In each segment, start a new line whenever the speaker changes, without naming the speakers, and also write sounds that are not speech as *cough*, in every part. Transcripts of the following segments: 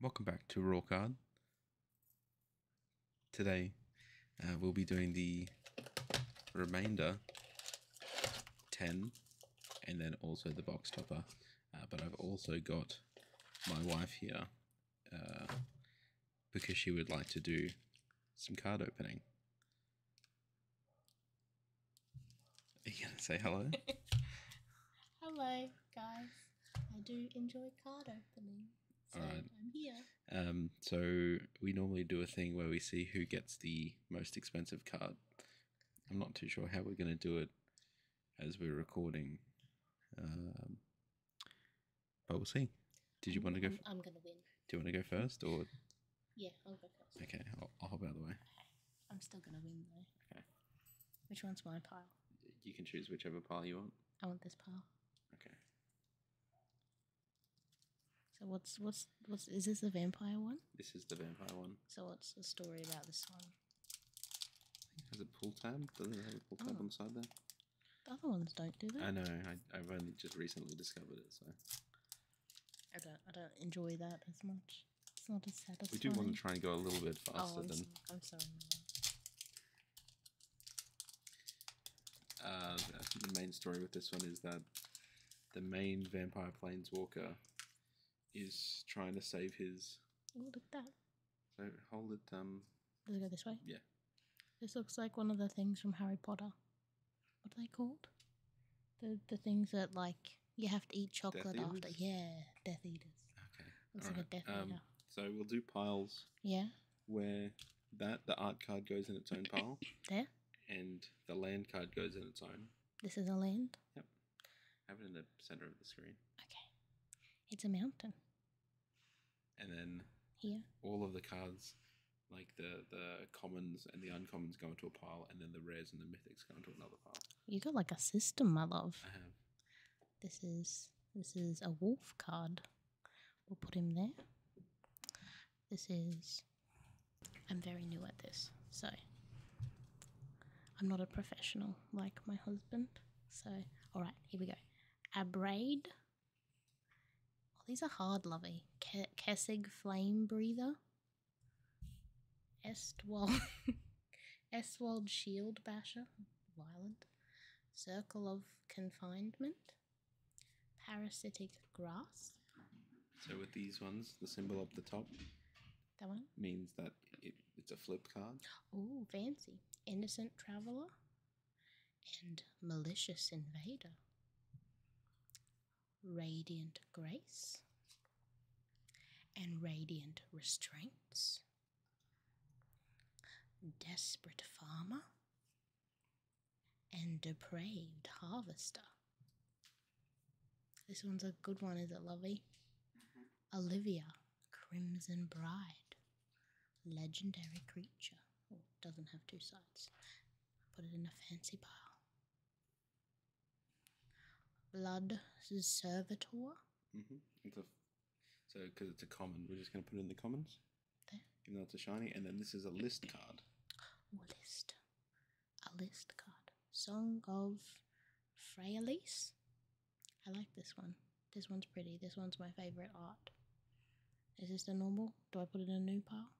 Welcome back to Raw Card. Today uh, we'll be doing the remainder 10 and then also the box topper. Uh, but I've also got my wife here uh, because she would like to do some card opening. Are you going to say hello? *laughs*
hello, guys. I do enjoy card opening. So right. I'm here.
Um, so we normally do a thing where we see who gets the most expensive card. I'm not too sure how we're going to do it as we're recording, um, but we'll see. Did you want to go? F- I'm going to win. Do you want to go first, or?
Yeah, I'll go first. Okay,
I'll, I'll hop out of the way. Okay.
I'm still going to win though. Okay. Which one's my pile?
You can choose whichever pile you want.
I want this pile. Okay. So what's what's what's is this the vampire one?
This is the vampire one.
So what's the story about this one?
has a pull tab. Doesn't it have a pull tab oh. on the side there?
The other ones don't do that. I know.
I, I've only just recently discovered it, so.
I don't I don't enjoy that as much. We do want to try and go a little bit oh, faster oh, than. So, I'm sorry,
uh, the main story with this one is that the main vampire planeswalker is trying to save his. Oh, that. So hold it. Um, Does it go this way? Yeah.
This looks like one of the things from Harry Potter. What are they called? The the things that like you have to eat chocolate after. Yeah, Death Eaters. Okay. Um,
so we'll do piles. Yeah. Where that the art card goes in its own *coughs* pile. there. And the land card goes in its own.
This is a land. Yep.
Have it in the center of the screen. Okay.
It's a mountain. And then. Here.
All of the cards like the the commons and the uncommons go into a pile, and then the rares and the mythics go into another pile.
You got like a system, my love. I have. This is this is a wolf card. We'll put him there. This is I'm very new at this, so I'm not a professional like my husband. So alright, here we go. Abrade. Oh, these are hard, lovey. Ke- Flame Breather. Estwal *laughs* Eswald Shield Basher, violent. Circle of Confinement, Parasitic Grass.
So with these ones, the symbol up the top. That one? Means that it, it's a flip card.
Oh, fancy. Innocent Traveller and Malicious Invader. Radiant Grace and radiant restraints, desperate farmer, and depraved harvester. This one's a good one, is it, Lovey? Mm-hmm. Olivia, Crimson Bride, legendary creature. Oh, doesn't have two sides. Put it in a fancy pile. Blood Servitor.
hmm so, because it's a common, we're just going to put it in the commons. There. Even though it's a shiny. And then this is a list card.
list. A list card. Song of Fraelis. I like this one. This one's pretty. This one's my favourite art. Is this the normal? Do I put it in a new pile?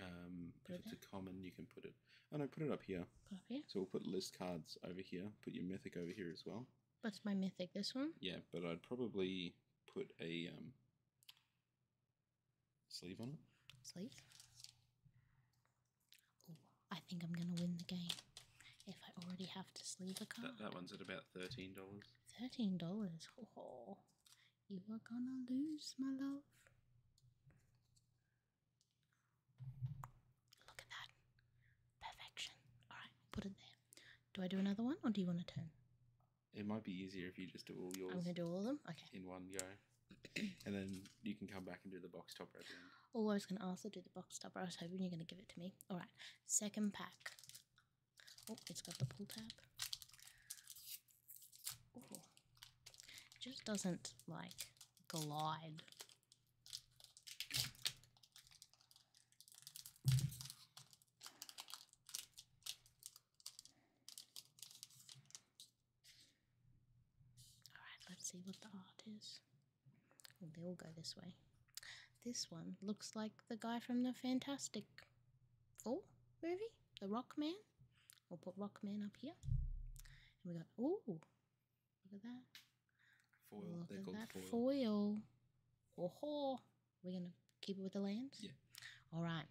Um, if it's a common, you can put it and oh, I put it up here. up here. So we'll put list cards over here. Put your mythic over here as well.
What's my mythic? This one.
Yeah, but I'd probably put a um, sleeve on it.
Sleeve. I think I'm gonna win the game if I already have to sleeve a card.
That, that one's at about thirteen dollars.
Thirteen dollars. Oh, you are gonna lose, my love. Look at that. Perfection. Alright, put it there. Do I do another one or do you want to turn?
It might be easier if you just do all yours. I'm going to do all them? In one go. and then you can come back and do the box top at the end.
Oh, I was going to also do the box top. I was hoping you're going to give it to me. Alright, second pack. Oh, it's got the pull tab. Oh, it just doesn't like glide Alright, let's see what the art is. Oh, they all go this way. This one looks like the guy from the Fantastic Four movie, The Rock Man. We'll put Rock Man up here. And we got, oh. Look at that. Foil. Look they we're gonna keep it with the lands. All right.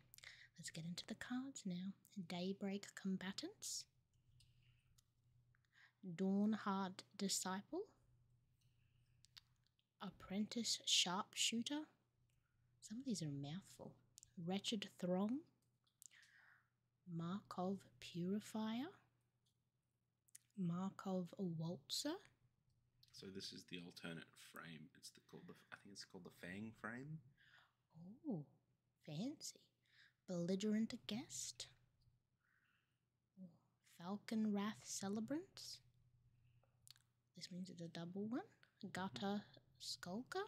Let's get into the cards now. Daybreak Combatants, dawn hard Disciple, Apprentice Sharpshooter. Some of these are mouthful. Wretched Throng, Markov purifier, Markov waltzer.
So this is the alternate frame. It's called the I think it's called the Fang frame.
Oh, fancy! Belligerent guest, Falcon Wrath celebrants. This means it's a double one. one. Gotta skulker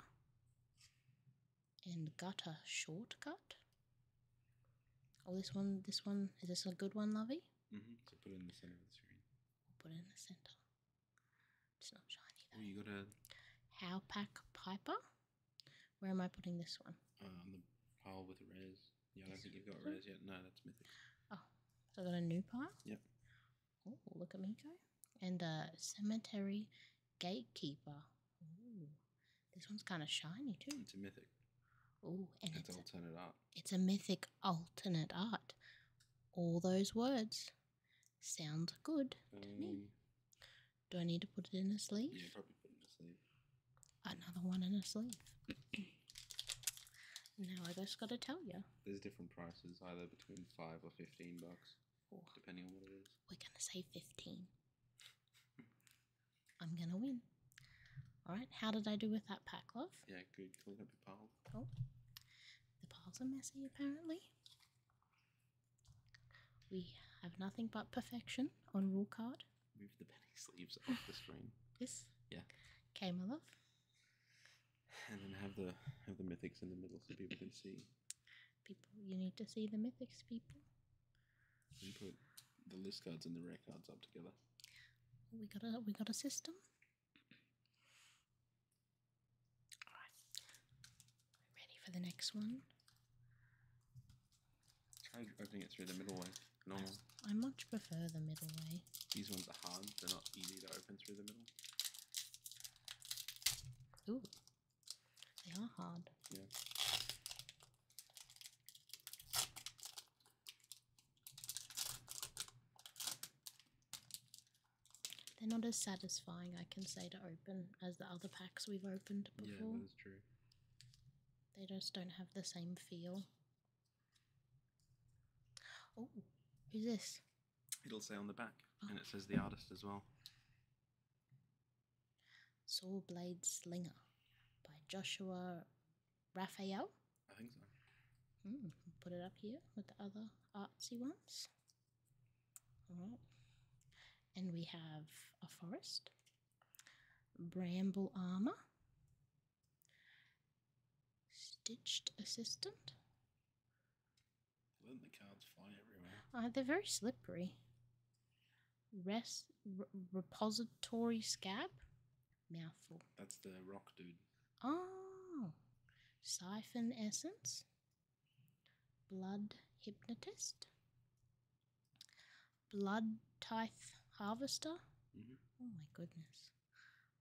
and gutter shortcut. Oh, this one, this one, is this a good one, Lovey?
Mm-hmm. So put it in the center of the screen.
put it in the center. It's not shiny though. Oh, you got a. Howpack Piper. Where am I putting this one? Uh, on the
pile with the res. Yeah, I don't think you've got res yet. No, that's mythic.
Oh, so I got a new pile? Yep. Oh, look at me go. And uh, Cemetery Gatekeeper. this one's kind of shiny too. It's a mythic. Ooh, and it's, it's alternate art. It's a mythic alternate art. All those words sound good to me. Um, Do I need to put it in a sleeve? Yeah,
probably put in a sleeve.
Another one in a sleeve. *clears throat* now I just got to tell you.
There's different prices, either between five or fifteen bucks, depending on what it is.
We're gonna say 15. I'm gonna win. Alright, how did I do with that pack, love?
Yeah, good. Clean up your pile. Cool.
The piles are messy, apparently. We have nothing but perfection on rule card.
Move the penny *laughs* sleeves off the screen. Yes. Yeah. Okay, my love. And then have the have the mythics in the middle so people can see
people. You need to see the mythics people.
We put the list cards and the rare cards up together.
We got a we got a system. All right, ready for the next one.
Try opening it through the middle way. Normal.
I, I much prefer the middle way.
These ones are hard. They're not easy to open through the middle.
Ooh, they are hard. Yeah. They're not as satisfying, I can say, to open as the other packs we've opened before. Yeah, that's true. They just don't have the same feel. Oh, who's this?
It'll say on the back, and it says the oh. artist as well.
Blade Slinger by Joshua Raphael.
I think so.
Hmm, put it up here with the other artsy ones. All right. And we have a forest, bramble armor, stitched assistant, Letting the uh, they're very slippery. Rest repository scab,
mouthful. That's the rock dude.
Oh, siphon essence, blood hypnotist, blood tithe harvester. Mm-hmm. Oh my goodness,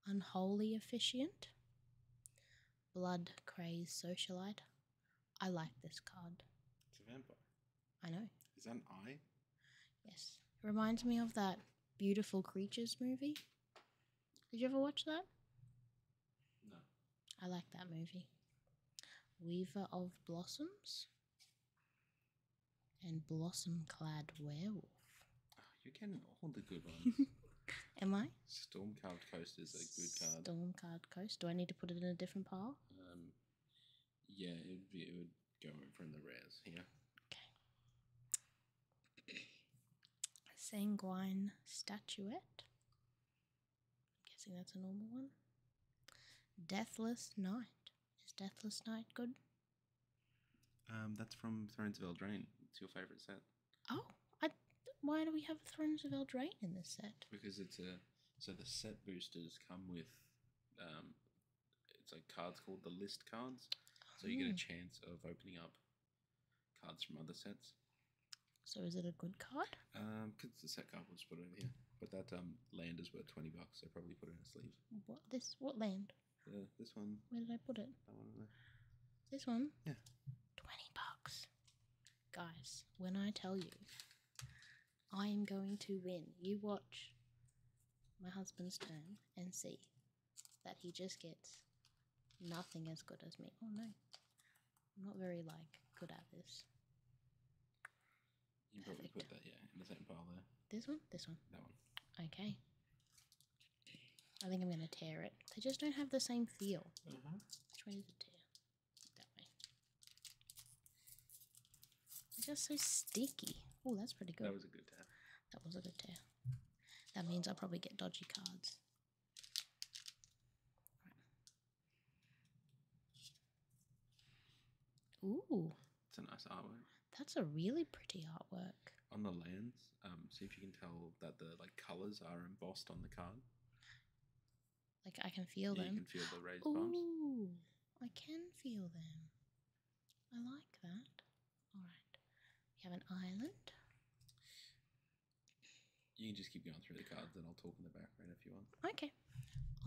unholy officiant, blood crazed socialite. I like this card. It's a vampire. I know. Is that an eye? Yes. It reminds me of that Beautiful Creatures movie. Did you ever watch that? No. I like that movie. Weaver of Blossoms and Blossom Clad Werewolf.
Ah, you're getting all the good ones.
*laughs* Am I?
Storm Carved Coast is a good card.
Storm carved Coast. Do I need to put it in a different pile?
Um, yeah, it would, be, it would go over in the rares here.
Okay. Sanguine Statuette. I'm guessing that's a normal one. Deathless Knight. Is Deathless Knight good?
Um, that's from Thrones of Eldraine. It's your favourite set.
Oh, I, why do we have Thrones of Eldraine in this set?
Because it's a so the set boosters come with um, it's like cards called the list cards, so you get a hmm. chance of opening up cards from other sets.
So is it a good card?
Um, because the set card was put over here, but that um land is worth twenty bucks. I probably put it in a sleeve.
What this? What land?
Yeah, uh, this one. Where did I put it? That one. This one. Yeah.
Twenty bucks. Guys, when I tell you, I am going to win. You watch my husband's turn and see that he just gets nothing as good as me. Oh no, I'm not very like good at this.
You probably put that yeah in the same pile
there. This one, this one, that one. Okay. I think I'm gonna tear it. They just don't have the same feel. Mm-hmm. Which way is it? that It's just so sticky. Oh, that's pretty good. That was a good tear. That was a good tear. That means I'll probably get dodgy cards. Ooh.
It's a nice artwork.
That's a really pretty artwork.
On the lands, um, see if you can tell that the like colors are embossed on the card.
Like I can feel yeah, them. You can feel the raised Ooh, bumps. I can feel them. I like that. All right. We have an island.
You can just keep going through the cards, and I'll talk in the background if you want.
Okay.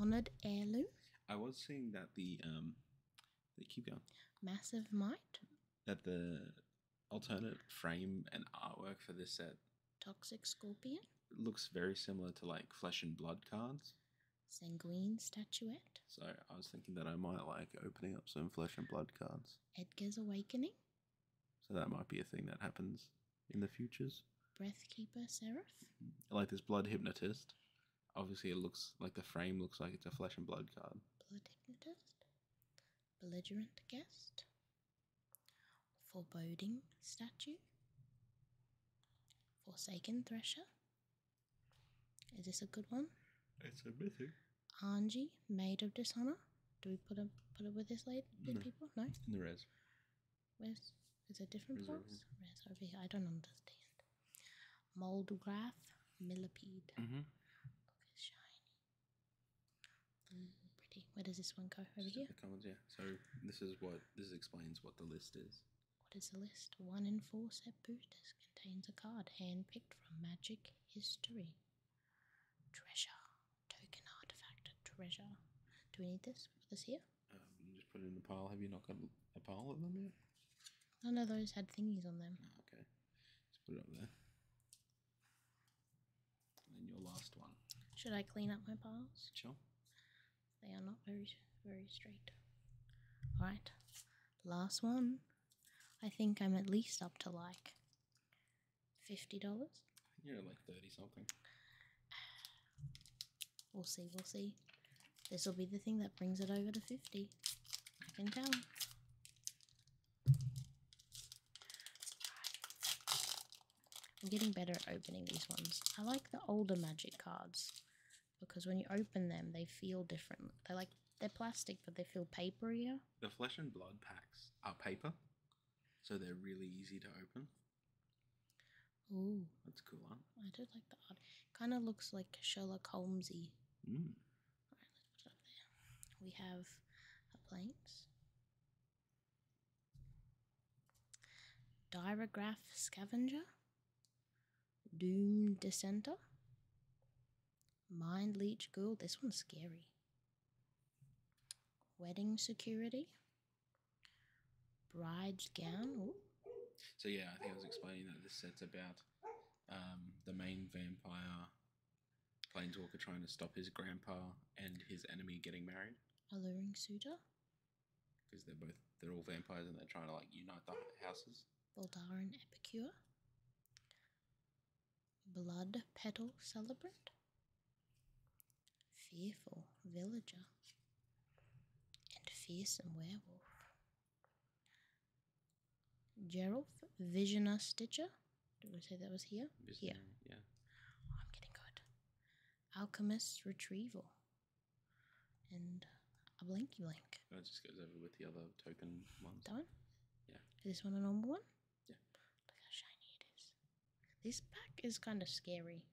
Honored heirloom.
I was saying that the um, they keep going.
Massive might.
That the alternate frame and artwork for this set
Toxic Scorpion.
looks very similar to like Flesh and Blood cards.
Sanguine Statuette.
So I was thinking that I might like opening up some Flesh and Blood cards.
Edgar's Awakening.
So that might be a thing that happens in the futures.
Breathkeeper Seraph.
Mm-hmm. Like this Blood Hypnotist. Obviously, it looks like the frame looks like it's a Flesh and Blood card.
Blood Hypnotist. Belligerent Guest. Foreboding Statue, Forsaken Thresher. Is this a good one? It's a mythic. Angie, Maid of Dishonor. Do we put a put it with this lady? People, no. In the res. Where's is it different Reserve. Res over here. I don't understand. Moldgraph, millipede. Look, mm-hmm. it's shiny. Pretty. Mm, Where does this one go? Over here?
Columns, yeah. So this is what this explains what the list
is. What is the list? One in four set boosters contains a card handpicked from Magic History. Treasure. Token artifact. Treasure. Do we need this? Put this here?
Um, just put it in the pile. Have you not got a pile of them yet?
None of those had thingies on them. Oh, okay. let
put it there. And your last one.
Should I clean up my piles? Sure. They are not very, very straight. All right, last one. I think I'm at least up to like fifty dollars. You're
like thirty something.
We'll see. We'll see. This will be the thing that brings it over to fifty. I can tell. I'm getting better at opening these ones. I like the older magic cards because when you open them, they feel different. They like they're plastic, but they feel paperier.
The flesh and blood packs are paper, so they're really easy to open. Ooh, that's cool, huh?
I do like the art. Kind of looks like Sherlock Holmesy. Hmm. We have a planes. diagraph Scavenger, Doom Dissenter, Mind Leech girl. this one's scary, Wedding Security, Bride's Gown.
So, yeah, I think I was explaining that this set's about um, the main vampire Planeswalker trying to stop his grandpa and his enemy getting married.
Alluring suitor.
Because they're both they're all vampires and they're trying to like unite the houses.
Baldaran Epicure. Blood Petal Celebrant. Fearful Villager. And Fearsome Werewolf. Gerulf Visioner Stitcher. Did I say that was here? Yeah, Yeah. Oh, I'm getting good. Alchemist Retrieval. And a blinky blink.
That oh, just goes over with the other token ones. That one? Yeah.
Is this one a normal one? Yeah. Look how shiny it is. This pack is kind of scary,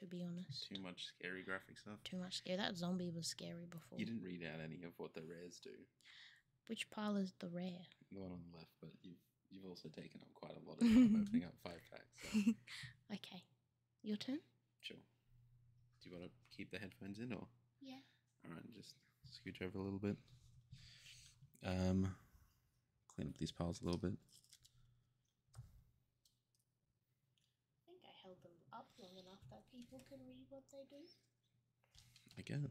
to be honest.
Too much scary graphic stuff. Too much
scary. That zombie was scary before. You
didn't read out any of what the rares do.
Which pile is the rare?
The one on the left, but you've you've also taken up quite a lot of *laughs* opening up five packs. *laughs*
okay, your turn.
Sure. Do you want to keep the headphones in, or yeah? All right, just scoot over a little bit. Um, clean up these piles a little bit.
I think I held them up long enough that people can read what they do.
I guess.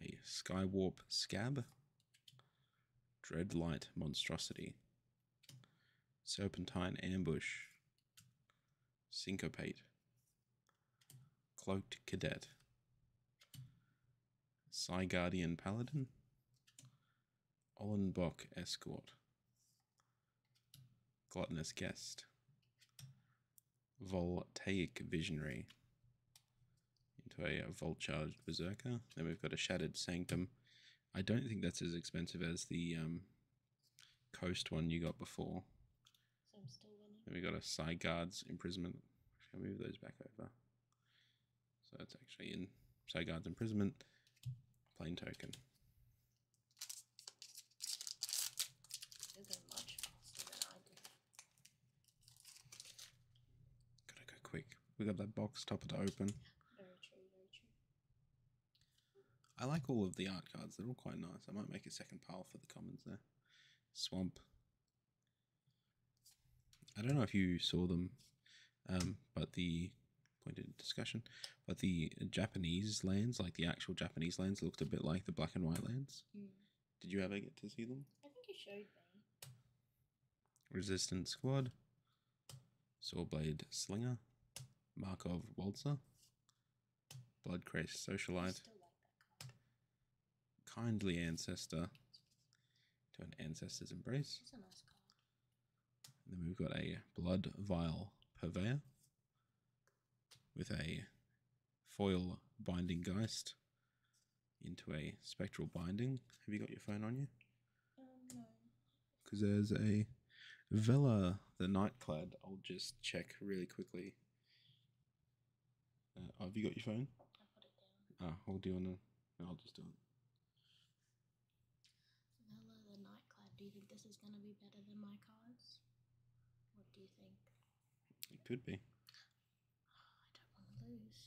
a Skywarp Scab, Dreadlight Monstrosity, Serpentine Ambush, Syncopate, Cloaked Cadet, Psy Guardian Paladin, Ollenbach Escort, Gluttonous Guest, Voltaic Visionary into a, a Volt Charged Berserker. Then we've got a Shattered Sanctum. I don't think that's as expensive as the um, Coast one you got before. So i Then we got a side Guard's Imprisonment. move those back over. So that's actually in side Guard's Imprisonment, plain token. Gotta go quick. We got that box topper to open.
Very true, very true.
I like all of the art cards, they're all quite nice. I might make a second pile for the commons there. Swamp. I don't know if you saw them, um, but the pointed discussion, but the Japanese lands, like the actual Japanese lands, looked a bit like the black and white lands. Mm. Did you ever get to see them?
I think you showed me.
Resistance Squad, Swordblade Slinger, Markov Waltzer, Blood Christ Socialite, Kindly Ancestor, to an Ancestor's Embrace. then we've got a Blood Vial Purveyor, with a foil binding geist into a spectral binding. Have you got your phone on you? Um, no. Because there's a Vela, the Nightclad. I'll just check really quickly. Uh, oh, have you got your phone? I put it down. Ah, hold you on. I'll just do it.
Vela, the Nightclad. Do you think this is going to be better than my cards? What do you think?
It could be. I
don't want to lose.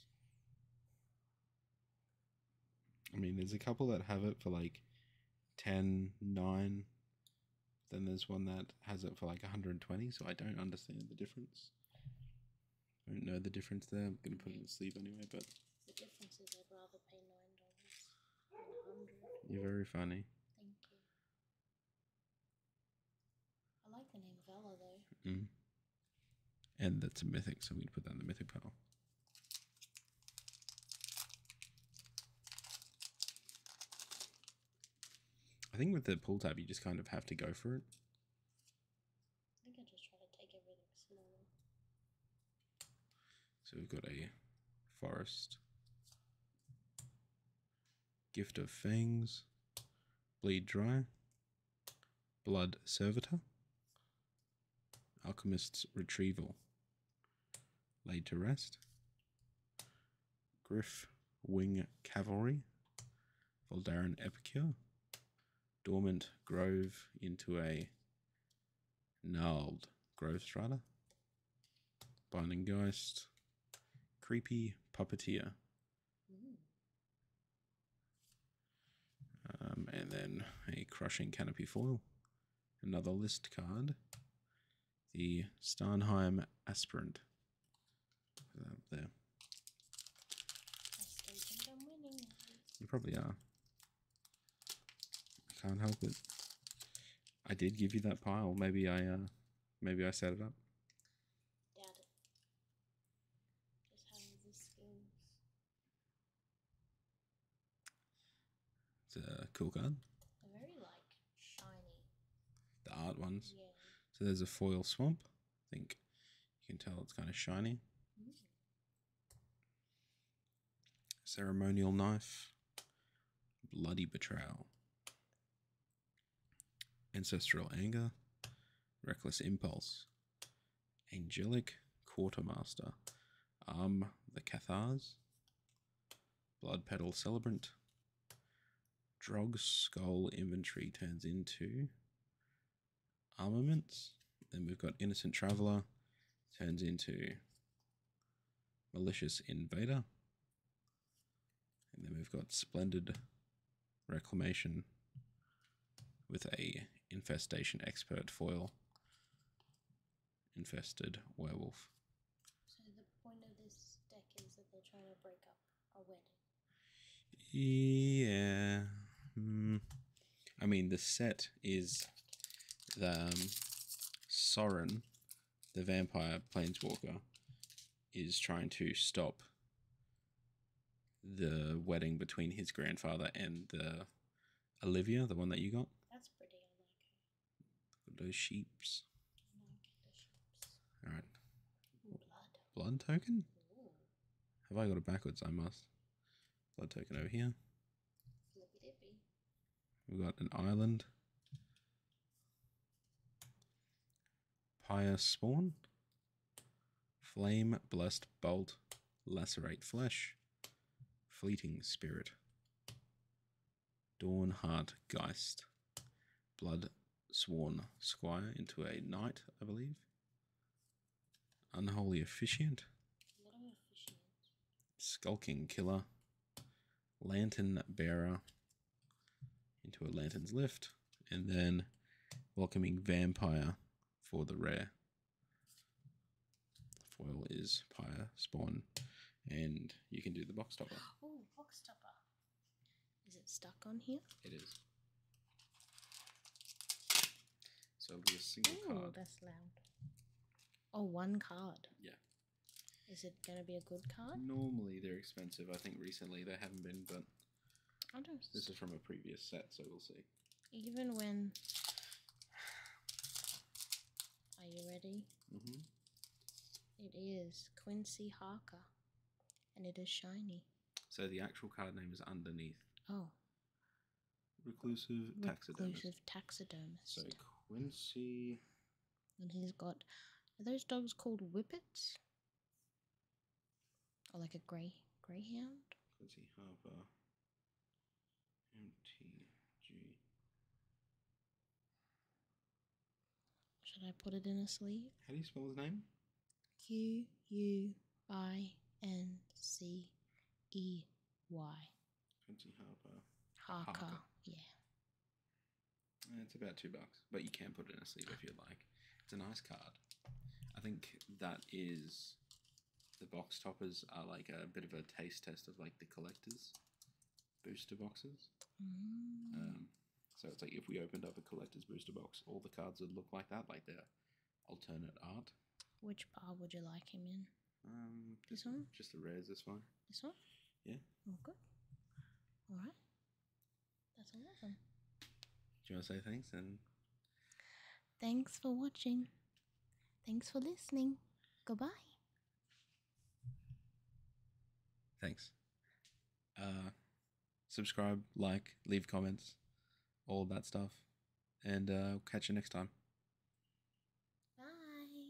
I mean, there's a couple that have it for like 10, 9. Then there's one that has it for like 120, so I don't understand the difference. I don't know the difference there. I'm going to put it in sleeve anyway, but. You're very funny.
Thank you. I like the name Vela though.
Mm-hmm. And that's a mythic, so we'd put that in the mythic pile. I think with the pull tab, you just kind of have to go for it.
I think I just try to take everything small.
So we've got a forest. Gift of Fangs, Bleed Dry, Blood Servitor, Alchemist's Retrieval, Laid to Rest, Griff Wing Cavalry, Voldaren Epicure, Dormant Grove into a Gnarled Grove Strata, Binding Geist, Creepy Puppeteer. Um, and then a Crushing Canopy Foil, another list card, the Starnheim Aspirant. there. You probably are. I can't help it. I did give you that pile. Maybe I uh, Maybe I set it up. It's a cool card.
very like shiny.
The art ones. Yeah. So there's a foil swamp. I think you can tell it's kind of shiny. Mm-hmm. Ceremonial knife. Bloody betrayal. Ancestral Anger, Reckless Impulse, Angelic Quartermaster, Arm the Cathars, Blood Pedal Celebrant, Drog Skull Inventory turns into Armaments. Then we've got Innocent Traveler turns into Malicious Invader, and then we've got Splendid Reclamation with a Infestation Expert foil. Infested Werewolf. So the point of this deck is that they're trying to break up a wedding. Yeah. Hmm. I mean, the set is the um, the vampire planeswalker is trying to stop the wedding between his grandfather and Olivia, the one that you got. That's pretty. I like Those sheeps. All right. Blood. token. Have I got it backwards? I must. Blood token over here. We've got an island. Pyre spawn. Flame, blessed bolt, lacerate flesh, fleeting spirit. Dawn heart geist. Blood sworn squire into a knight, I believe. Unholy officiant. Skulking killer. Lantern bearer into a Lantern's Lift, and then Welcoming Vampire for the rare. foil is Pyre, Spawn, and you can do the box topper.
Oh, box topper. Is it stuck on here?
It is. So it'll be a single Ooh, card.
That's loud. Oh, one card. Yeah. Is it going to be a good card?
Normally they're expensive. I think recently they haven't been, but This is from a previous set, so we'll see.
Even when. Are you ready? Mm-hmm. is Quincy Harker, and it is shiny.
So the actual card name is underneath. Oh. Reclusive taxidermist. So Quincy
and he's got, those dogs called whippets? Or like a grey greyhound?
Does he MTG?
Should I put it in a sleeve?
How do you spell his name?
Q U I N C E Y. Quincy Harper. Harker. yeah.
Eh, it's about two bucks, but you can put it in a sleeve if you'd like. It's a nice card. I think that is the box toppers are like a bit of a taste test of like the collectors booster boxes.
Mm. Um,
so it's like if we opened up a collector's booster box, all the cards would look like that, like their alternate art.
Which bar would you like him in? Um, this one.
Just the rares. This one. This one? Yeah.
Okay. Oh, all right. That's all Do
you want to say thanks and?
Thanks for watching. Thanks for listening. Goodbye.
Thanks. Uh, subscribe, like, leave comments, all that stuff. And uh, catch you next time.
Bye.